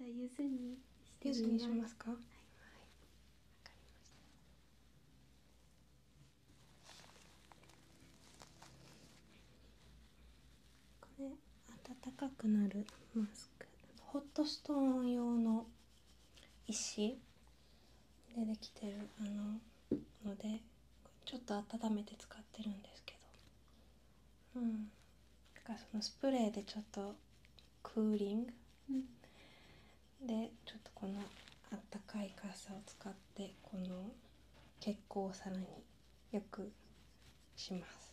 じゃゆずにゆずにしますか。これ暖かくなるマスク、ホットストーン用の石でできてるあのので、ちょっと温めて使ってるんですけど。うんなんかそのスプレーでちょっとクーリング、でちょっとこのあったかい傘を使ってこの血行をさらによくします。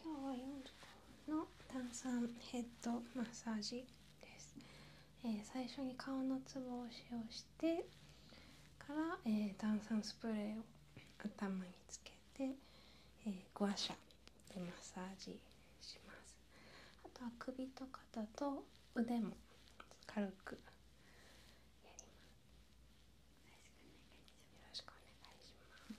今日は4時分の炭酸ヘッドマッサージです。えー、最初に顔のツボを使用してから、えー、炭酸スプレーを頭につけて、えー、グワシャマッサージしますあとは首と肩と腕も軽くやりますよろしくお願いします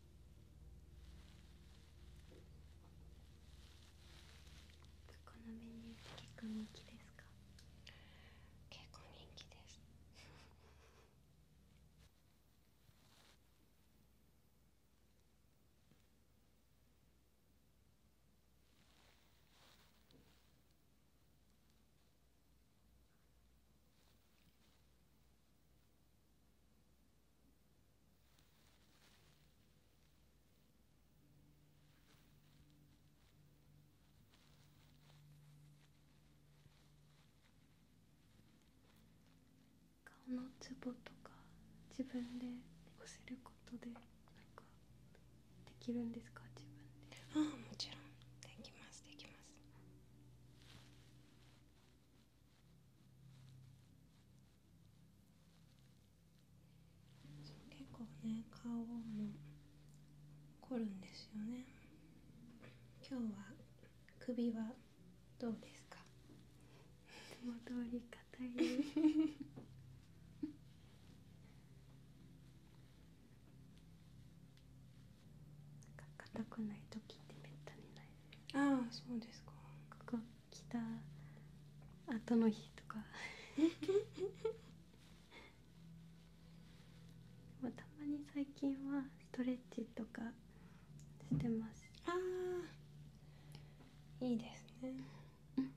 このメニューって結構人気ですか結構人気です顔のツボとか自分で押せることでなんかできるんですか自分でああもちろんできますできます結構ね顔も凝るんですよね今日は首はどうですかも通 り硬いです 硬くない時ってめったにないああそうですか来た後の日とか たまに最近はストレッチとかしてますあいいですね、うん、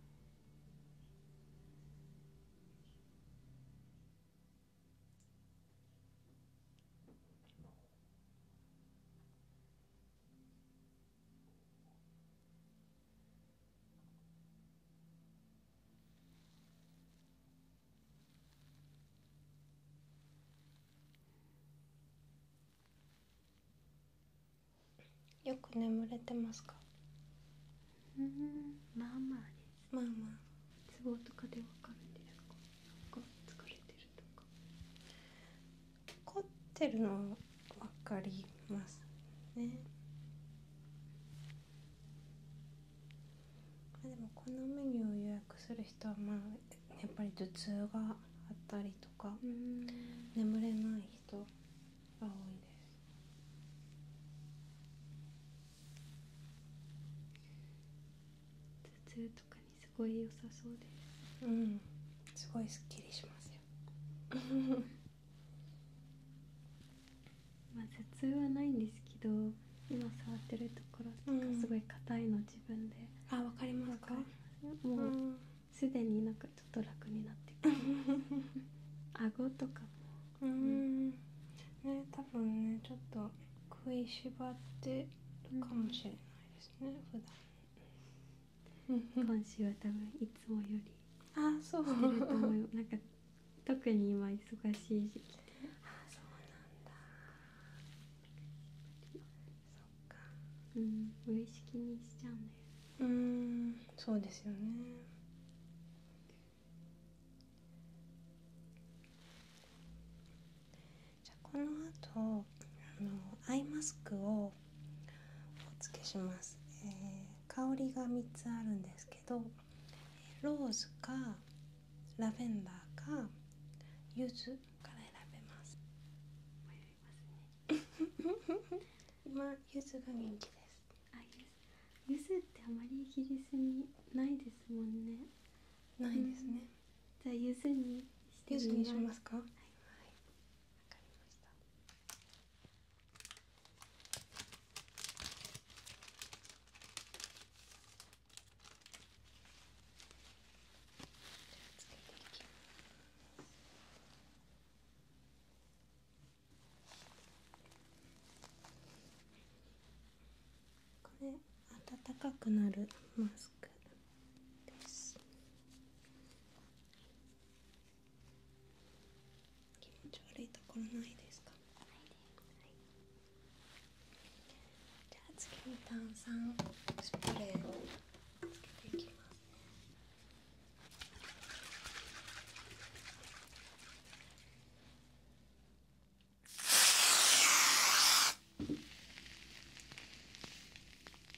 よく眠れてますかまあまあまあまあツボとかでわかるんですかなか疲れてるとか凝ってるのはかりますねでもこのメニューを予約する人はまあやっぱり頭痛があったりとか眠れない人が多いです頭痛とかにすごい良さそうですんすごいすっきりしますよ まあ頭痛はないんですけど今触ってるところすごい硬いの自分で、あわかりますかもう、すでになんかちょっと楽になって 顎とかもね多分ねちょっと食いしばってるかもしれないですね、うん、普段 今週は多分いつもよりあそうなんか特に今忙しい時期あそうなんだそっかうん無意識にしちゃうんだようんそうですよねじゃこの後あのアイマスクをお付けします、えー、香りが3つあるんですけどローズかラベンダーか柚子から選べます迷い が人気ですあ柚ってあまりイギにないですもんねないですね、じゃあ柚にしてますにしますか、かりましたこれ暖かくなるマスクです。気持ち悪いところないですかじゃあ次に炭酸スプレーをつけていきますね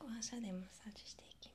お箸でマッサージしていきます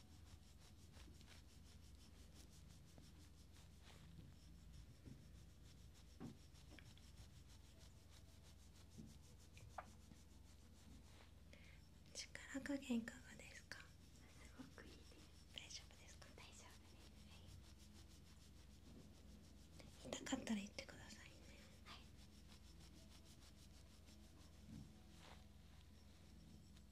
力加減いかがですかすごくいいです大丈夫ですか大丈夫です、痛かったら言ってくださいねはい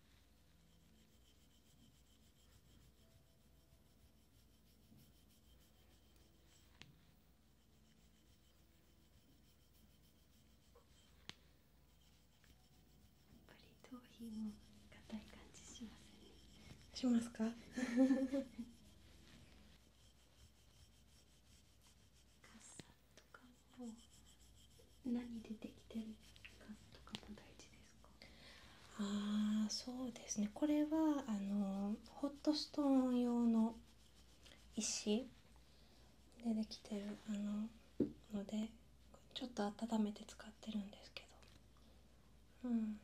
やっぱり頭皮も硬い感じしますねしますか とかを何出てきてるかとかも大事ですかああそうですねこれはあのホットストーン用の石でできてるあののでちょっと温めて使ってるんですけどうん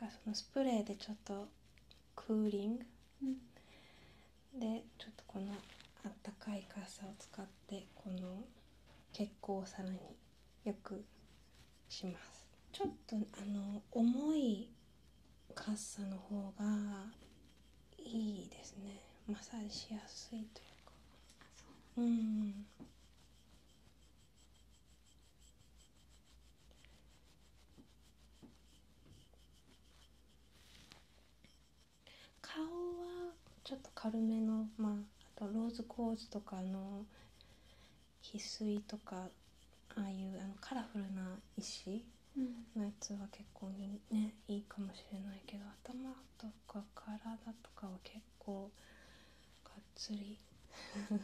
だそのスプレーでちょっとクーリング、うん、でちょっとこのあったかい傘を使ってこの血行をさらによくしますちょっとあの重い傘の方がいいですねマッサージしやすいというかうん顔はちょっと軽めのまああとローズコーズとかの翡翠とかああいうあのカラフルな石のやつは結構ねいいかもしれないけど頭とか体とかは結構がっつりがっ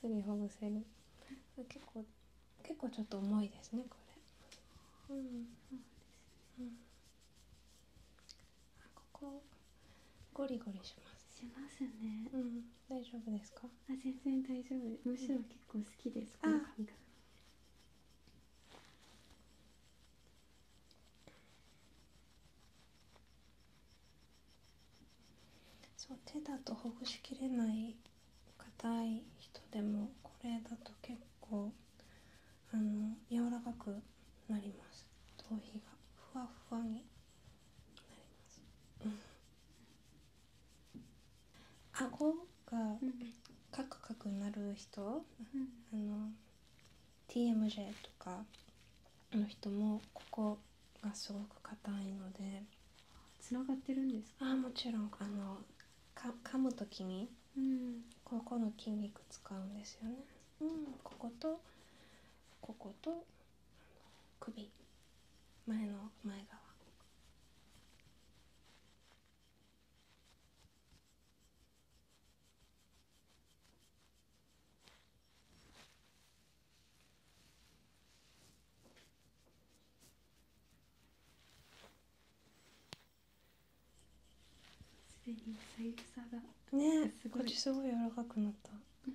つりほぐせる結構結構ちょっと重いですねこれ。うん、ここゴリゴリしますしますねうん大丈夫ですかあ全然大丈夫むしろ結構好きです、うそう手だとほぐしきれない硬い人でもこれだと結構あの柔らかくなります頭皮がふわふわになります、うん、顎がカクカクなる人、あの TMJ とかの人もここがすごく硬いのでつながってるんですかあもちろんあのか噛む時に、うん、ここの筋肉使うんですよね、うん、こことここと首前の前側すでに左右差がねすごいこっちすごい柔らかくなった、うん、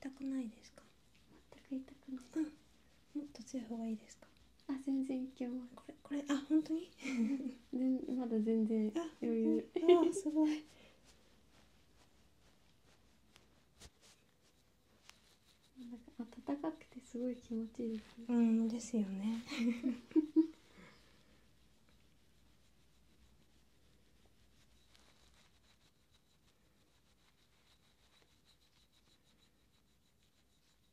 痛くないですか？全く痛くない。もっと強い方がいいですか？あ全然いけまこれこれあ本当に まだ全然余裕あすごいなか暖かくてすごい気持ちいいですねうんですよね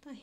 硬い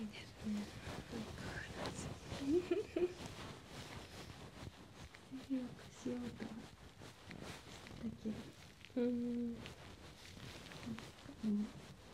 いですね。なん かよくしようとはけど。うん。なんかもう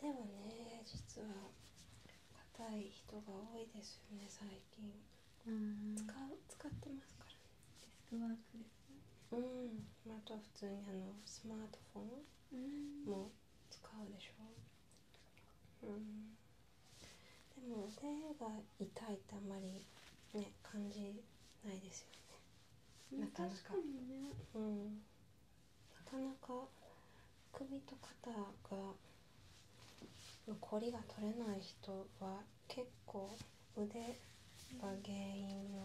でもね実は硬い人が多いですよね最近使ってますからねデスクワークでうんあとは普通にあのスマートフォンも使うでしょうんでも腕が痛いってあんまりね感じないですよねなかなか、ね、うんなかなか首と肩が残りが取れない人は結構腕が原因の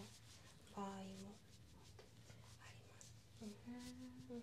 場合もあります。うん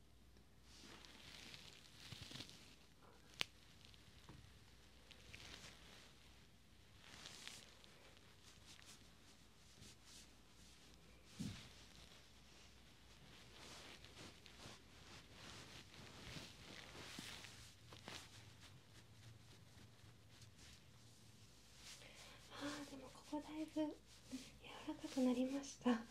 ああでもここだいぶ柔らかくなりました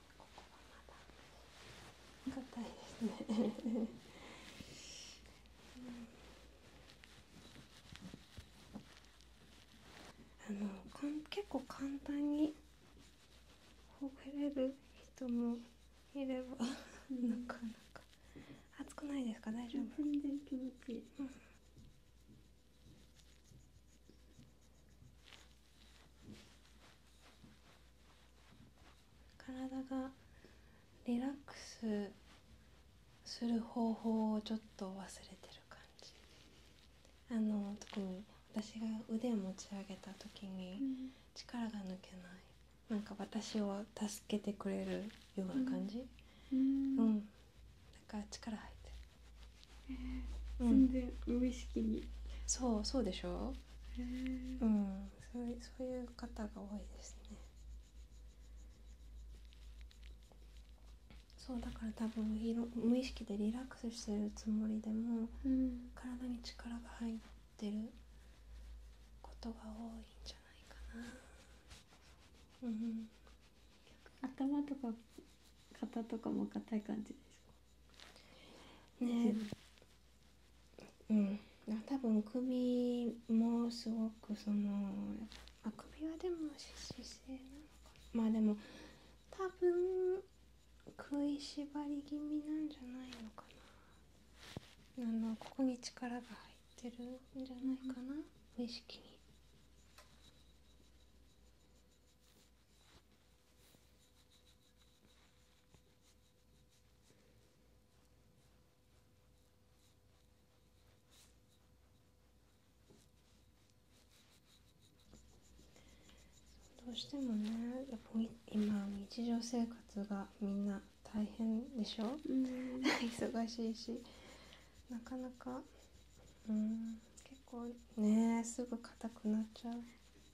ここはまだ硬いですねあのかん結構簡単にほぐれる人もいればなかなか熱くないですか大丈夫全然気持ちいい、体がリラックスする方法をちょっと忘れてる感じあの特に私が腕持ち上げた時に力が抜けない、うなんか私を助けてくれるような感じうん、うん、だから力入ってる、えー、全然無意識に、そうそうでしょへうん、そうそういう方が多いですねそうだから多分いろ無意識でリラックスしてるつもりでも、体に力が入ってることが多いんじゃないかな、うん、頭とか肩とかも硬い感じですかねうん多分首もすごくそのあ首はでも姿勢なのかなまあでも多分食いしばり気味なんじゃないのかなあのここに力が入ってるんじゃないかな、無意識に。どうしてもねやっぱ、今日常生活がみんな大変でしょ、うん、忙しいしなかなかうん結構ねすぐ硬くなっちゃう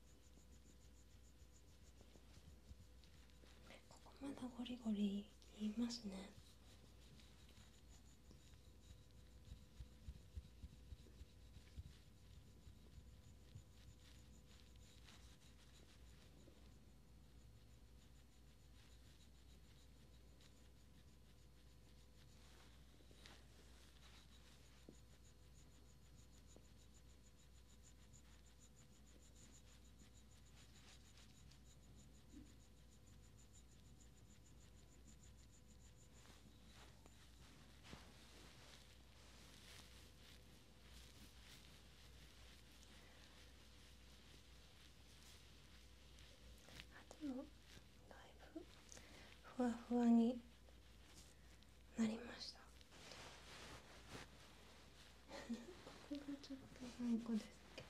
ここまだゴリゴリ言いますねでもだいぶふわふわになりましたここがちょっと頑固ですけど